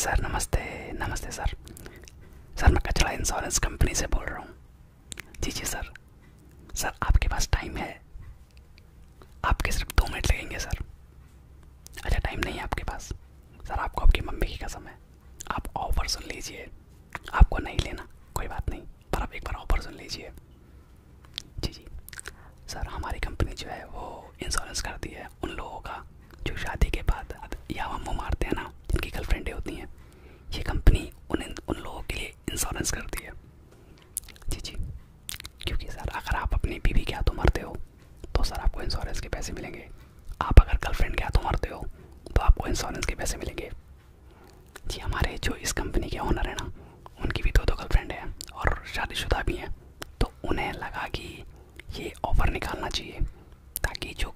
Sir नमस्ते नमस्ते sir sir मैं कचरा इंश्योरेंस कंपनी से बोल रहा हूँ जी जी सर सर आपके पास टाइम है आपके सिर्फ दो मिनट लगेंगे सर अच्छा टाइम नहीं है आपके पास सर आपको आपकी मम्मी की कसम है आप ऑफ़र सुन लीजिए आपको नहीं लेना कोई बात नहीं पर आप एक बार ऑफ़र सुन लीजिए जी जी सर हमारी कंपनी जो है वो इंश्योरेंस करती है उन लोगों का जो शादी के बाद या वो मारते हैं ना जिनकी गर्लफ्रेंडें होती हैं ये कंपनी उन उन लोगों के लिए इंश्योरेंस करती है जी जी क्योंकि सर अगर आप अपनी बीवी के हाथों मरते हो तो सर आपको इंश्योरेंस के पैसे मिलेंगे आप अगर गर्लफ्रेंड के हाथों मरते हो तो आपको इंश्योरेंस के पैसे मिलेंगे जी हमारे जो इस कंपनी के ऑनर हैं ना उनकी भी दो दो गर्लफ्रेंड हैं और शादीशुदा भी हैं तो उन्हें लगा कि ये ऑफ़र निकालना चाहिए ताकि जो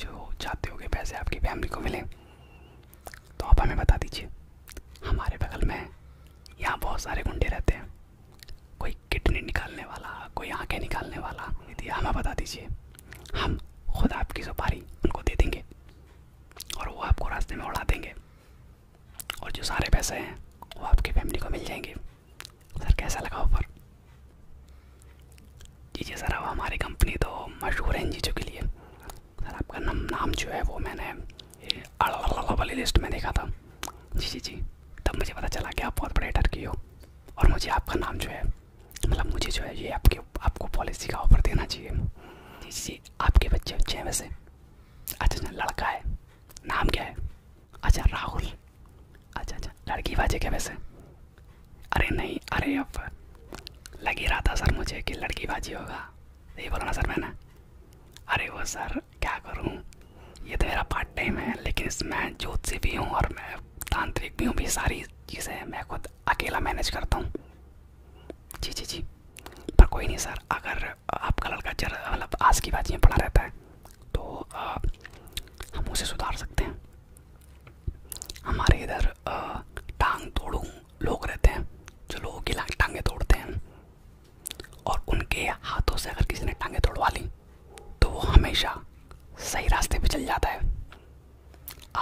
जो चाहते हो होगे पैसे आपकी फैमिली को मिले तो आप हमें बता दीजिए हमारे बगल में यहाँ बहुत सारे गुंडे रहते हैं कोई किडनी निकालने वाला कोई आँखें निकालने वाला यदि हमें बता दीजिए हम खुद आपकी सुपारी उनको दे देंगे और वो आपको रास्ते में उड़ा देंगे और जो सारे पैसे हैं वो आपकी फैमिली को मिल जाएंगे सर कैसा लगा ऑफर जी जी सर अब हमारी कंपनी तो मशहूर है जी चीज़ों के लिए सर आपका नाम नाम जो है वो मैंने वाली लिस्ट में देखा था जी जी जी तब मुझे पता चला कि आप बहुत बड़े टर्की हो और मुझे आपका नाम जो है मतलब मुझे जो है ये आपके आपको पॉलिसी का ऑफर देना चाहिए जी जी आपके बच्चे बच्चे हैं वैसे अच्छा अच्छा लड़का है नाम क्या है अच्छा राहुल अच्छा अच्छा लड़की वाजे क्या वैसे अरे नहीं अरे अब लग ही रहा था सर मुझे कि लड़की बाजी होगा यही बोलो ना सर मैंने अरे वो सर क्या करूँ ये तो मेरा पार्ट टाइम है लेकिन इसमें जोत से भी हूँ और मैं तांत्रिक भी हूँ भी सारी चीज़ें मैं खुद अकेला मैनेज करता हूँ जी जी जी पर कोई नहीं सर अगर आपका लड़का जर मतलब आज की बाजी में पड़ा रहता है तो आ, हम उसे सुधार सकते हैं हमारे इधर टांग तोड़ू लोग रहते हैं जो लोगों की टांगे तोड़ते हैं और उनके हाथों से अगर किसी ने टांगे तोड़वा ली तो वो हमेशा सही रास्ते पे चल जाता है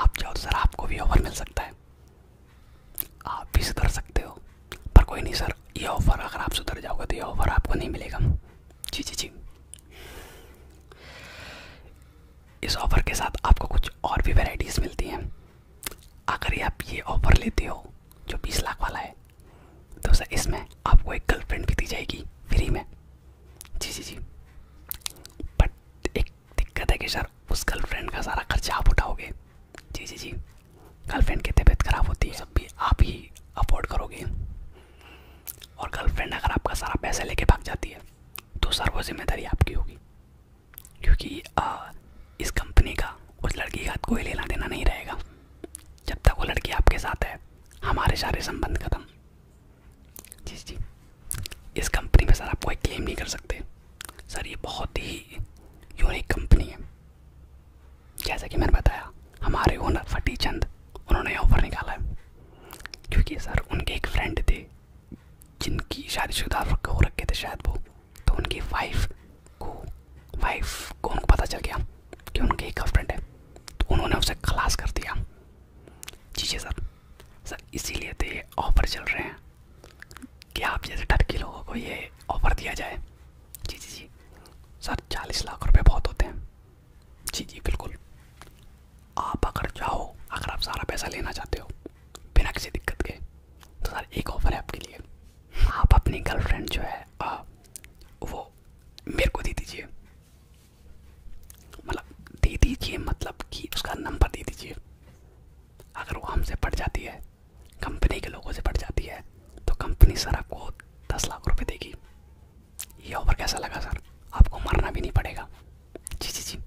आप जाओ तो सर आपको भी ऑफर मिल सकता है आप भी सुधर सकते हो पर कोई नहीं सर ये ऑफर अगर आप सुधर जाओगे तो ये ऑफर आपको नहीं मिलेगा जी जी जी इस ऑफ़र के साथ आपको कुछ और भी वेराइटीज़ मिलती हैं अगर आप ये ऑफ़र लेते हो जो बीस लाख वाला है तो सर इसमें आपको एक गर्लफ्रेंड भी दी जाएगी फ्री में जी जी जी बट एक दिक्कत है कि सर उस गर्लफ्रेंड का सारा खर्चा आप उठाओगे जी जी जी गर्लफ्रेंड की तबीयत ख़राब होती है सब भी आप ही अफोर्ड करोगे और गर्लफ्रेंड अगर आपका सारा पैसा लेके भाग जाती है तो सर वो जिम्मेदारी आपकी होगी क्योंकि आ, इस कंपनी का उस लड़की का कोई लेना देना नहीं रहेगा जब तक वो लड़की आपके साथ है हमारे सारे संबंध खत्म जी जी इस कंपनी में सर आप कोई क्लेम नहीं कर सकते सर ये बहुत ही यूनिक कंपनी है जैसा कि मैंने बताया हमारे ओनर फटी चंद उन्होंने ऑफर निकाला है क्योंकि सर उनके एक फ्रेंड थे जिनकी शादीशुदा हो रखे थे शायद वो तो उनकी वाइफ को वाइफ को उनको पता चल गया कि उनके एक फ्रेंड है तो उन्होंने उसे खलास कर दिया जी जी सर सर इसीलिए तो ये ऑफ़र चल रहे हैं कि आप जैसे के लोगों को ये ऑफ़र दिया जाए जी जी जी सर चालीस लाख रुपये बहुत होते हैं जी जी बिल्कुल आप अगर चाहो अगर आप सारा पैसा लेना चाहते हो बिना किसी दिक्कत के तो सर एक ऑफ़र है आपके लिए आप अपनी गर्लफ्रेंड जो है आ, वो मेरे को दे दीजिए मतलब दे दीजिए मतलब कि उसका नंबर दे दीजिए अगर वो हमसे पट जाती है कंपनी के लोगों से पट जाती है तो कंपनी सर आपको दस लाख रुपये देगी ये ऑफर कैसा लगा सर आपको मरना भी नहीं पड़ेगा जी जी जी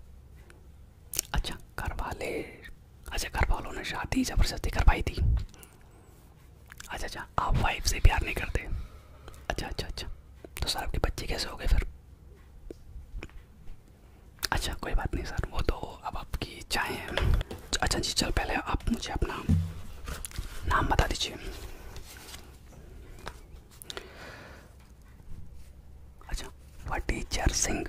अच्छा घर वाले अच्छा घर वालों ने शादी ज़बरदस्ती करवाई थी अच्छा अच्छा आप वाइफ से प्यार नहीं करते अच्छा अच्छा अच्छा तो सर आपके बच्चे कैसे हो गए फिर अच्छा कोई बात नहीं सर वो तो अब आपकी चाय है अच्छा जी चल पहले आप मुझे अपना नाम बता दीजिए अच्छा वटीचर सिंह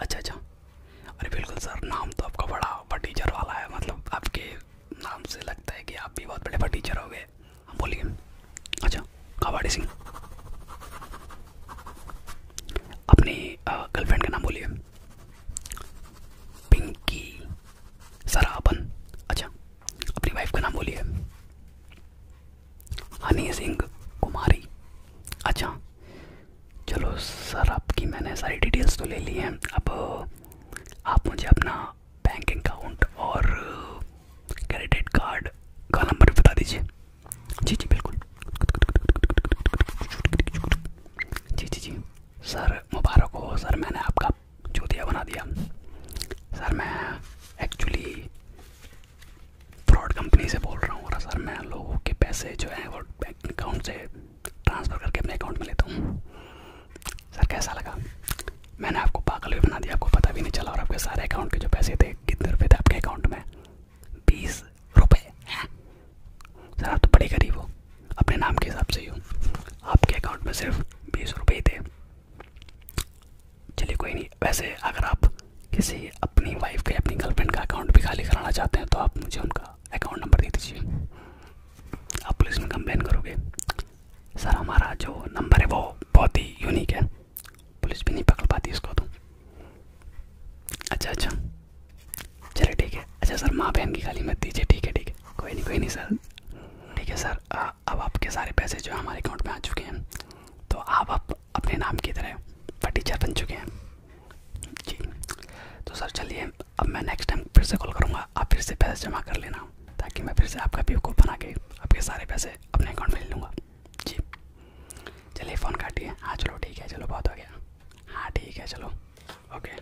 अच्छा अच्छा अरे बिल्कुल सर नाम तो आपका बड़ा वटीचर वाला है मतलब आपके नाम से लगता है कि आप भी बहुत बड़े वटीचर हो गए हम हाँ, बोलिए अच्छा कावाड़ी सिंह अपनी गर्लफ्रेंड का नाम बोलिए पिंकी सराबन अच्छा अपनी वाइफ का नाम बोलिए हनी सिंह कुमारी अच्छा चलो सर आपकी मैंने सारी डिटेल्स तो ले ली हैं अब आप मुझे अपना बैंक अकाउंट और क्रेडिट कार्ड का नंबर बता दीजिए जी जी बिल्कुल जी जी जी सर मुबारक हो सर मैंने आपका चूतिया बना दिया सर मैं एक्चुअली फ्रॉड कंपनी से बोल रहा हूँ और सर मैं लोगों के पैसे जो हैं वो अकाउंट से ट्रांसफ़र करके अपने अकाउंट में लेता हूँ सर कैसा लगा मैंने आपको पागल भी बना दिया आपको पता भी नहीं चला और आपके सारे अकाउंट के जो पैसे थे कितने रुपये थे आपके अकाउंट में बीस रुपये हाँ। सर आप तो बड़े गरीब हो अपने नाम के हिसाब से ही हो आपके अकाउंट में सिर्फ बीस रुपये ही थे चलिए कोई नहीं वैसे अगर आप किसी अपनी वाइफ के अपनी गर्लफ्रेंड का अकाउंट भी खाली कराना चाहते हैं तो आप मुझे उनका अकाउंट नंबर दे दीजिए आप पुलिस में कंप्लेन करोगे सर हमारा जो नंबर है वो बहुत ही यूनिक है पुलिस भी नहीं पकड़ पाती इसको तो अच्छा अच्छा चलिए ठीक है अच्छा सर माँ बहन की खाली मत दीजिए ठीक है ठीक है कोई नहीं कोई नहीं सर ठीक है सर आ, अब आपके सारे पैसे जो हमारे अकाउंट में आ चुके हैं तो आप, आप अपने नाम की तरह फटीचर बन चुके हैं जी तो सर चलिए अब मैं नेक्स्ट टाइम फिर से कॉल करूँगा आप फिर से पैसे जमा कर लेना ताकि मैं फिर से आपका भी कोड बना के आपके सारे पैसे अपने अकाउंट में ले लूँगा जी चलिए फ़ोन काटिए हाँ चलो ठीक है चलो बहुत हो गया हाँ ठीक है चलो ओके